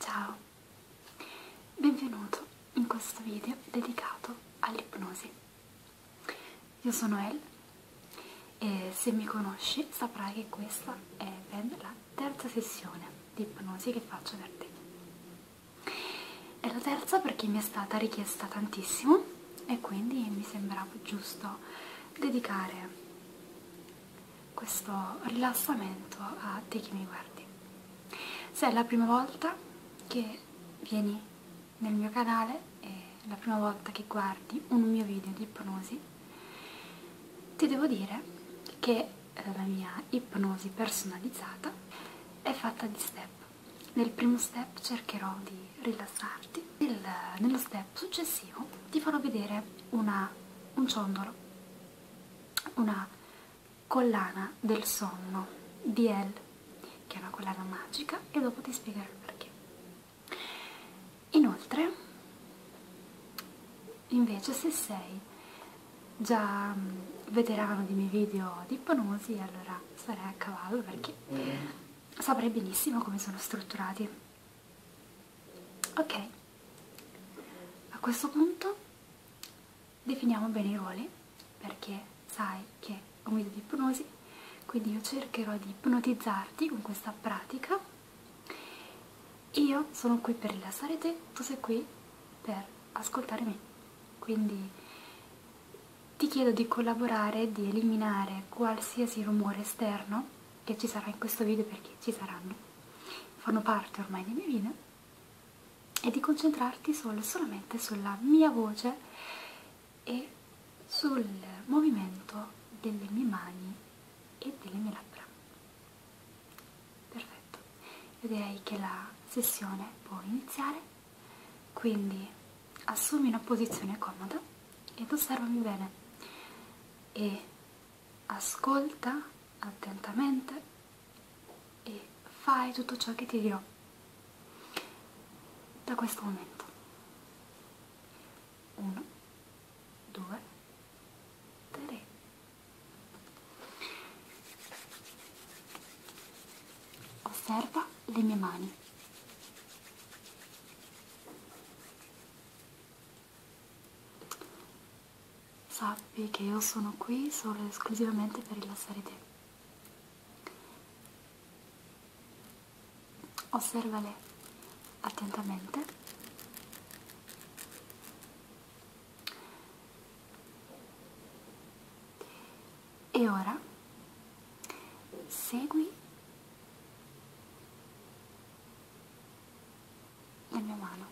Ciao, benvenuto in questo video dedicato all'ipnosi. Io sono El e se mi conosci saprai che questa è ben la terza sessione di ipnosi che faccio per te. È la terza perché mi è stata richiesta tantissimo e quindi mi sembrava giusto dedicare questo rilassamento a te che mi guardi. Se è la prima volta che vieni nel mio canale e la prima volta che guardi un mio video di ipnosi, ti devo dire che eh, la mia ipnosi personalizzata è fatta di step. Nel primo step cercherò di rilassarti, Nel, nello step successivo ti farò vedere una, un ciondolo una collana del sonno DL che è una collana magica e dopo ti spiegherò il perché inoltre invece se sei già mm, veterano dei miei video di ipnosi allora sarei a cavallo perché mm. saprei benissimo come sono strutturati ok a questo punto definiamo bene i ruoli perché sai che è un video di ipnosi quindi io cercherò di ipnotizzarti con questa pratica io sono qui per rilassare te tu sei qui per ascoltare me quindi ti chiedo di collaborare di eliminare qualsiasi rumore esterno che ci sarà in questo video perché ci saranno, fanno parte ormai dei miei video, e di concentrarti solo, solamente sulla mia voce e sul movimento delle mie mani e delle mie labbra. Perfetto, io direi che la sessione può iniziare, quindi assumi una posizione comoda ed osservami bene e ascolta attentamente e fai tutto ciò che ti dirò da questo momento. 1, 2, 3. Osserva le mie mani. Sappi che io sono qui solo e esclusivamente per rilassare te. Osservale attentamente. E ora segui la mia mano,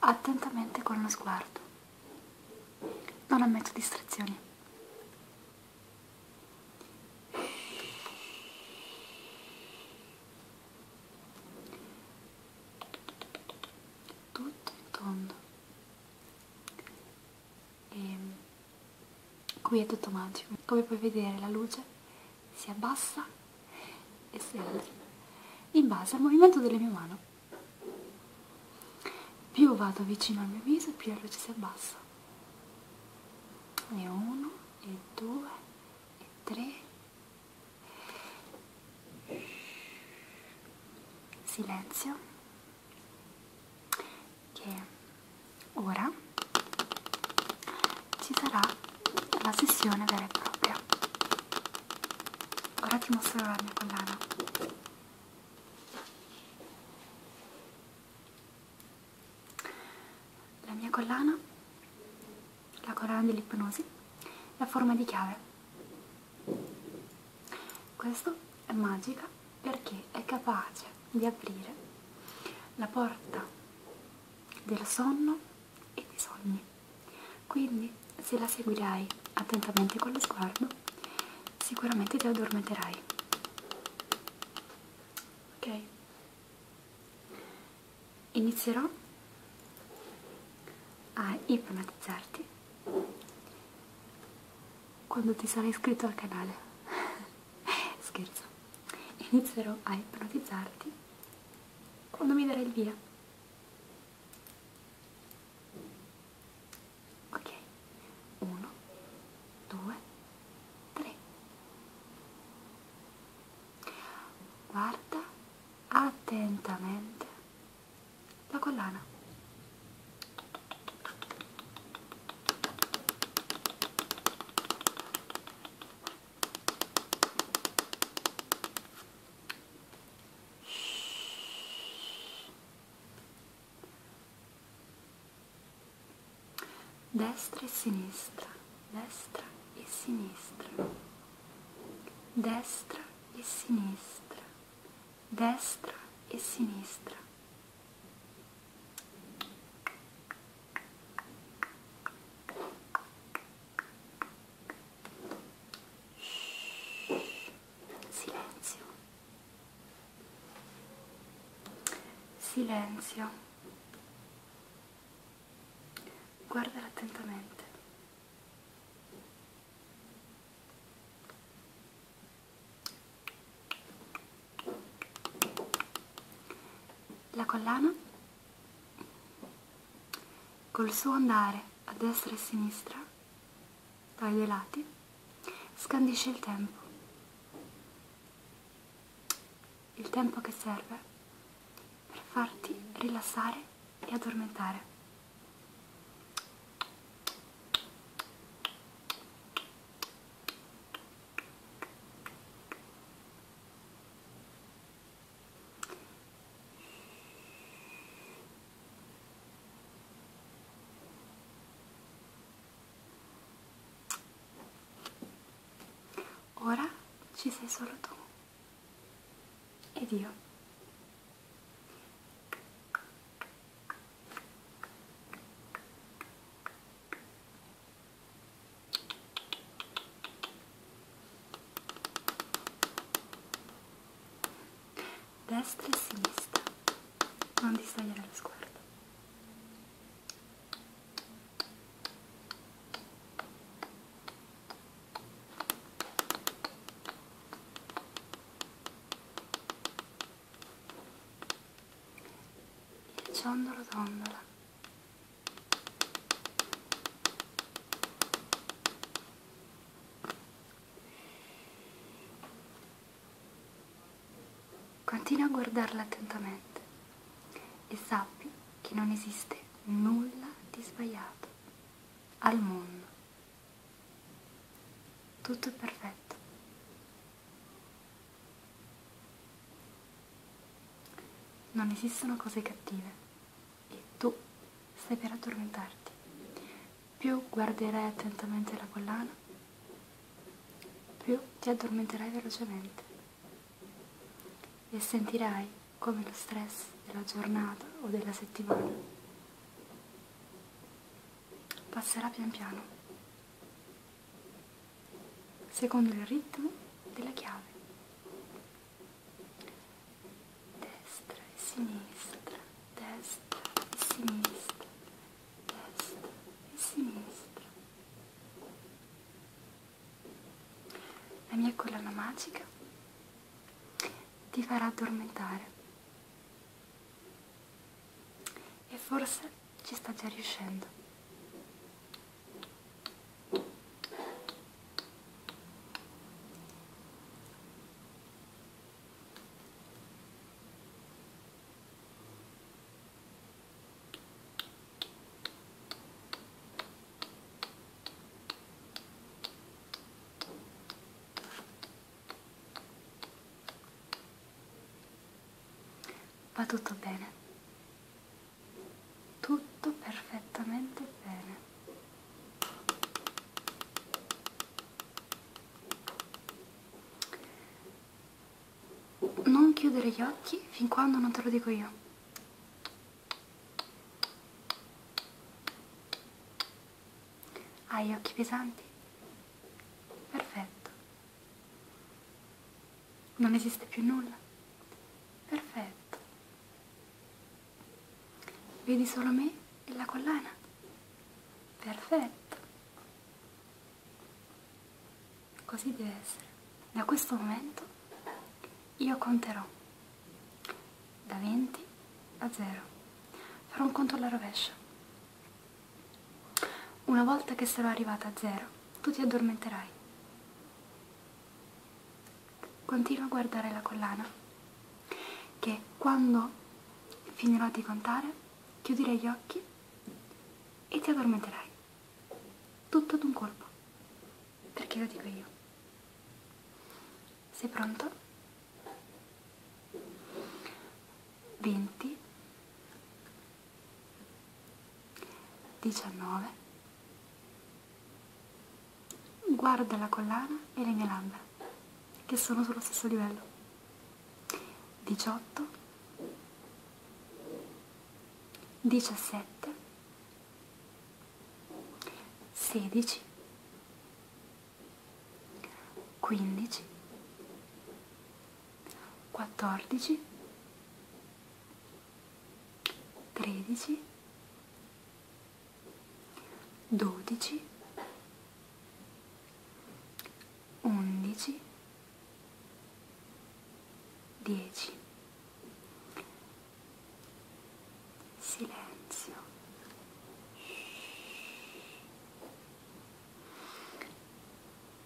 attentamente con lo sguardo. Non ammetto distrazioni. Tutto in tondo. E qui è tutto magico. Come puoi vedere la luce si abbassa e si alza in base al movimento delle mie mani più vado vicino al mio viso più la luce si abbassa e 1 e 2 e 3 silenzio che ora ci sarà la sessione vera e propria ora ti mostro la mia collana la mia collana la collana dell'ipnosi la forma di chiave questo è magica perché è capace di aprire la porta del sonno e dei sogni. Quindi se la seguirai attentamente con lo sguardo, sicuramente ti addormenterai. Ok? Inizierò a ipnotizzarti quando ti sarai iscritto al canale. Scherzo. Inizierò a ipnotizzarti quando mi darai il via ok 1 2 3 guarda attentamente la collana destra e sinistra, destra e sinistra, destra e sinistra, destra e sinistra. Silenzio. Silenzio. Guardala attentamente. La collana Col suo andare a destra e a sinistra, dai due lati, scandisce il tempo. Il tempo che serve per farti rilassare e addormentare. Ora ci sei solo tu ed io destra e sinistra non distagliare lo sguardo il ciondolo dondola Continua a guardarla attentamente e sappi che non esiste nulla di sbagliato al mondo. Tutto è perfetto. Non esistono cose cattive e tu stai per addormentarti. Più guarderai attentamente la collana, più ti addormenterai velocemente e sentirai come lo stress della giornata o della settimana passerà pian piano, secondo il ritmo della chiave destra e sinistra, destra e sinistra, destra e sinistra. La mia collana magica ti farà addormentare e forse ci sta già riuscendo Va tutto bene tutto perfettamente bene non chiudere gli occhi fin quando non te lo dico io hai gli occhi pesanti? perfetto non esiste più nulla perfetto Vedi solo me e la collana. Perfetto. Così deve essere. Da questo momento io conterò da 20 a 0. Farò un conto alla rovescia. Una volta che sarò arrivata a 0, tu ti addormenterai. Continua a guardare la collana, che quando finirò di contare chiuderai gli occhi e ti addormenterai. Tutto ad un colpo, perché lo dico io. Sei pronto? 20 19 Guarda la collana e le mie labbra, che sono sullo stesso livello. 18, 17, 16, 15, 14, 13, 12, 11, 10, 9, 8, 7, 6, 5, 4, 3, 2, 1, 0 tredici, dodici, undici, dieci. Silenzio.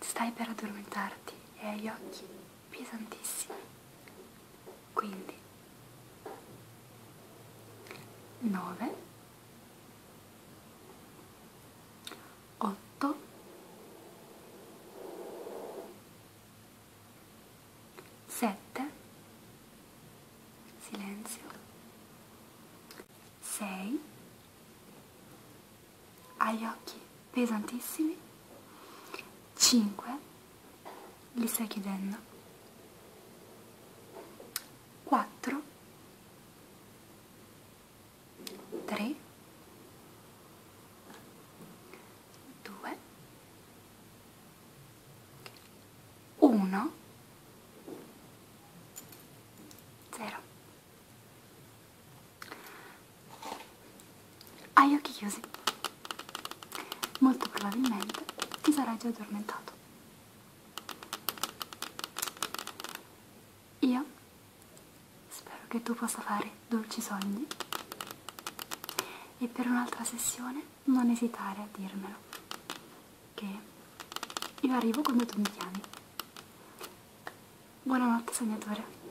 Stai per addormentarti e eh, hai gli occhi pesantissimi quindi 9 8 7 silenzio 6 agli occhi pesantissimi 5 li stai chiudendo 4 3 2 1 0 hai occhi chiusi. Molto probabilmente ti sarai già addormentato. Io spero che tu possa fare dolci sogni e per un'altra sessione non esitare a dirmelo, che io arrivo quando tu mi chiami. Buonanotte sognatore.